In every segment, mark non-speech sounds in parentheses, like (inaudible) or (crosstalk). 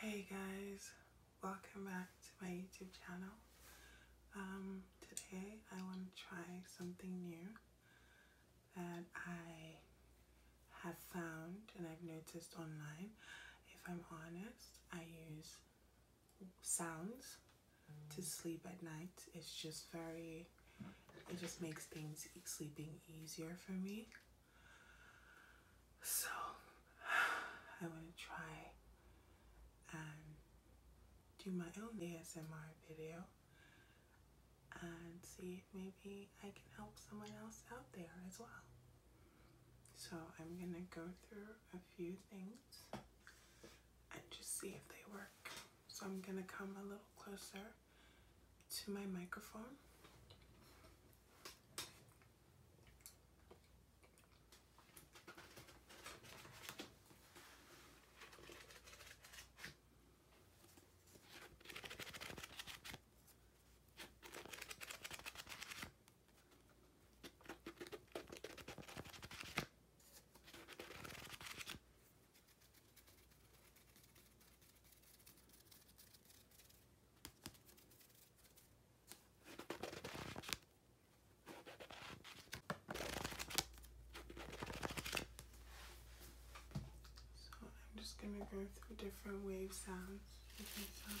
Hey guys, welcome back to my YouTube channel. Um, today I want to try something new that I have found and I've noticed online. If I'm honest, I use sounds to mm. sleep at night. It's just very, it just makes things sleeping easier for me. So (sighs) I want to try and do my own ASMR video and see if maybe I can help someone else out there as well. So I'm going to go through a few things and just see if they work. So I'm going to come a little closer to my microphone. So I'm just going to go through different wave sounds. sounds.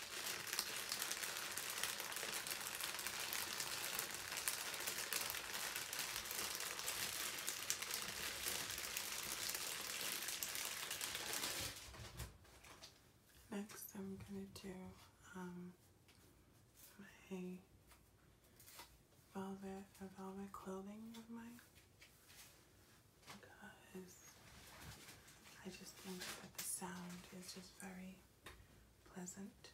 Next, I'm going to do um, my velvet, velvet clothing of mine because I just think that the sound is just very pleasant. Pleasant.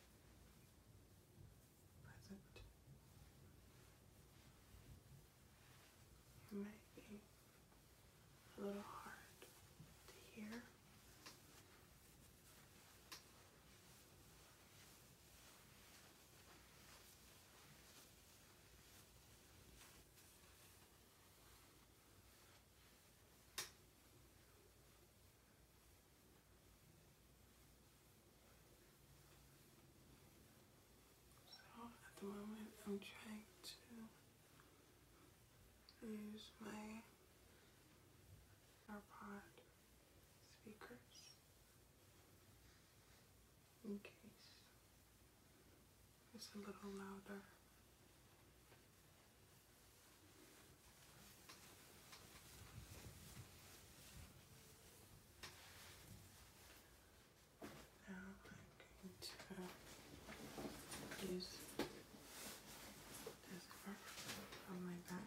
It might be a little hard to hear. So at the moment, I'm trying to use my AirPod speakers in case it's a little louder. Now I'm going to use this brush on my back.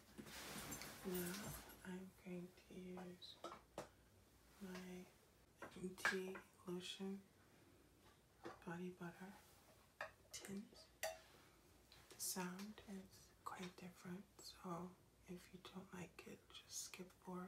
Now I'm going to use my MT lotion body butter tint. The sound is quite different, so if you don't like it, just skip forward.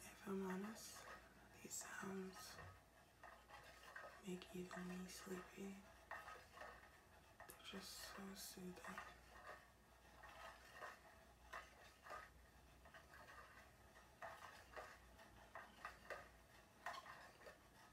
If I'm honest, these sounds make even me sleepy. They're just so soothing.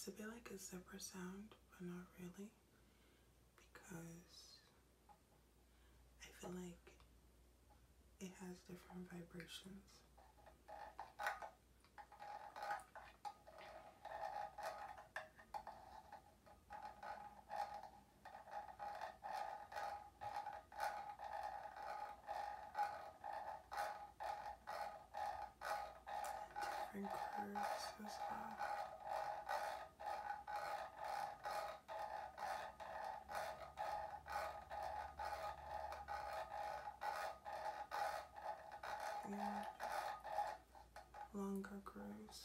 It's a bit like it's a bit like a zipper sound, but not really because I feel like it has different vibrations. different curves as well and longer grooves.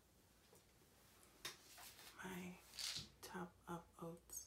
my top of oats.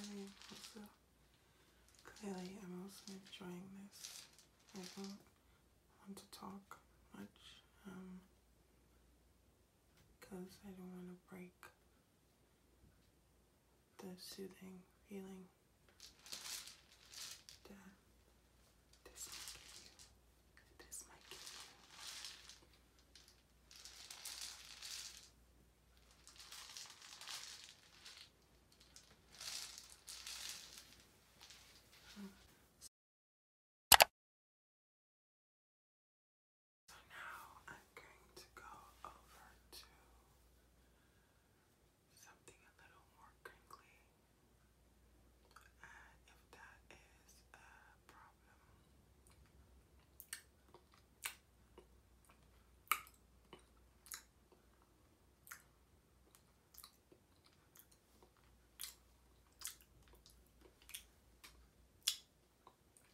And also, clearly I'm also enjoying this. I don't want to talk much because um, I don't want to break the soothing feeling this might give you. This might give you. So now I'm going to go over to something a little more crinkly. And uh, if that is a problem,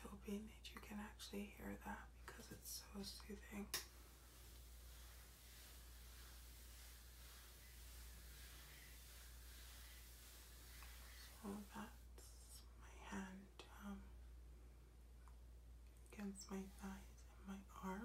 So hoping that you can actually hear that because it's so soothing that's my hand um, against my thighs and my arms.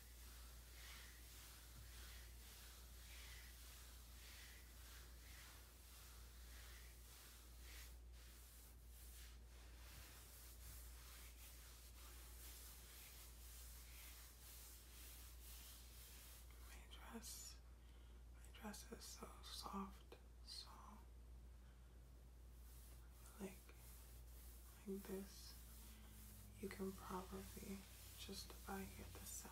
My dress, my dress is so soft, so like like this, you can probably just about hear the sound.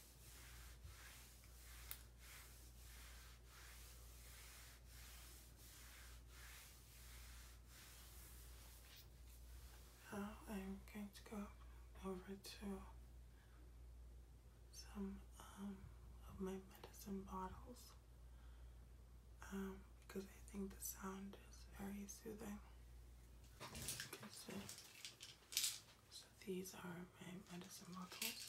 I'm going to go over to some um, of my medicine bottles um, because I think the sound is very soothing. You can see so these are my medicine bottles.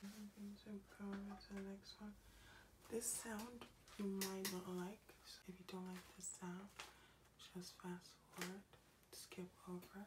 Jump to the next one. This sound you might not like. if you don't like this sound, just fast forward, skip over.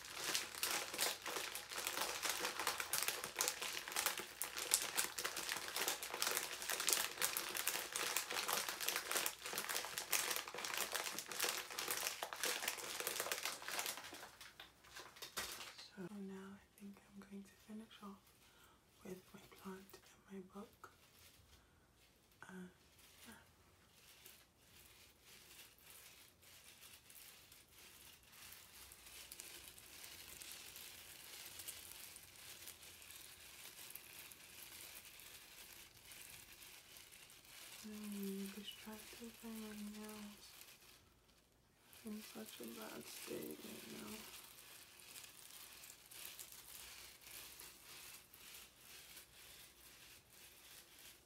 So now I think I'm going to finish off with my plant and my book. Uh, Mm, I'm distracted by my nails. In such a bad state right now.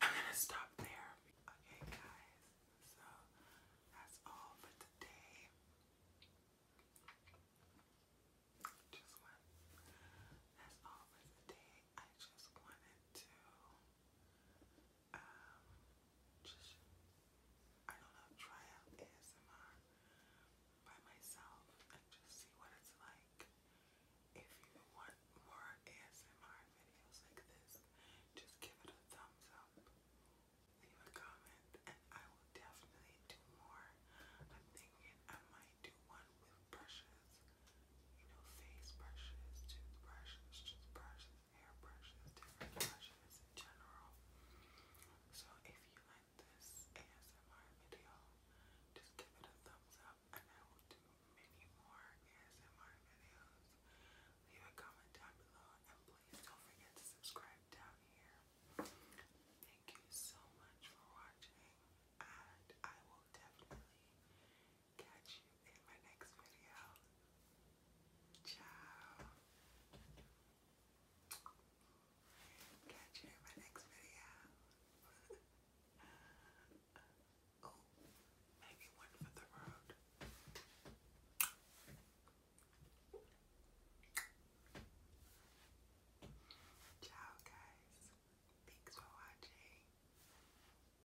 I'm gonna stop there. Okay, guys, so that's all for today. Just That's all for today. I just wanted to um, just I don't know, try out ASMR by myself and just see what it's like. If you want more ASMR videos like this, just give it a thumbs up, leave a comment, and I will definitely do more. I'm thinking I might do one with brushes you know, face brushes, toothbrushes, toothbrushes, hair brushes, different brushes general. So if you like this ASMR video, just give it a thumbs up and I will do many more ASMR videos. Leave a comment down below and please don't forget to subscribe down here. Thank you so much for watching and I will definitely Catch you in my next video. Ciao. Catch you in my next video. (laughs) oh, maybe one for the road. Ciao, guys. Thanks for watching.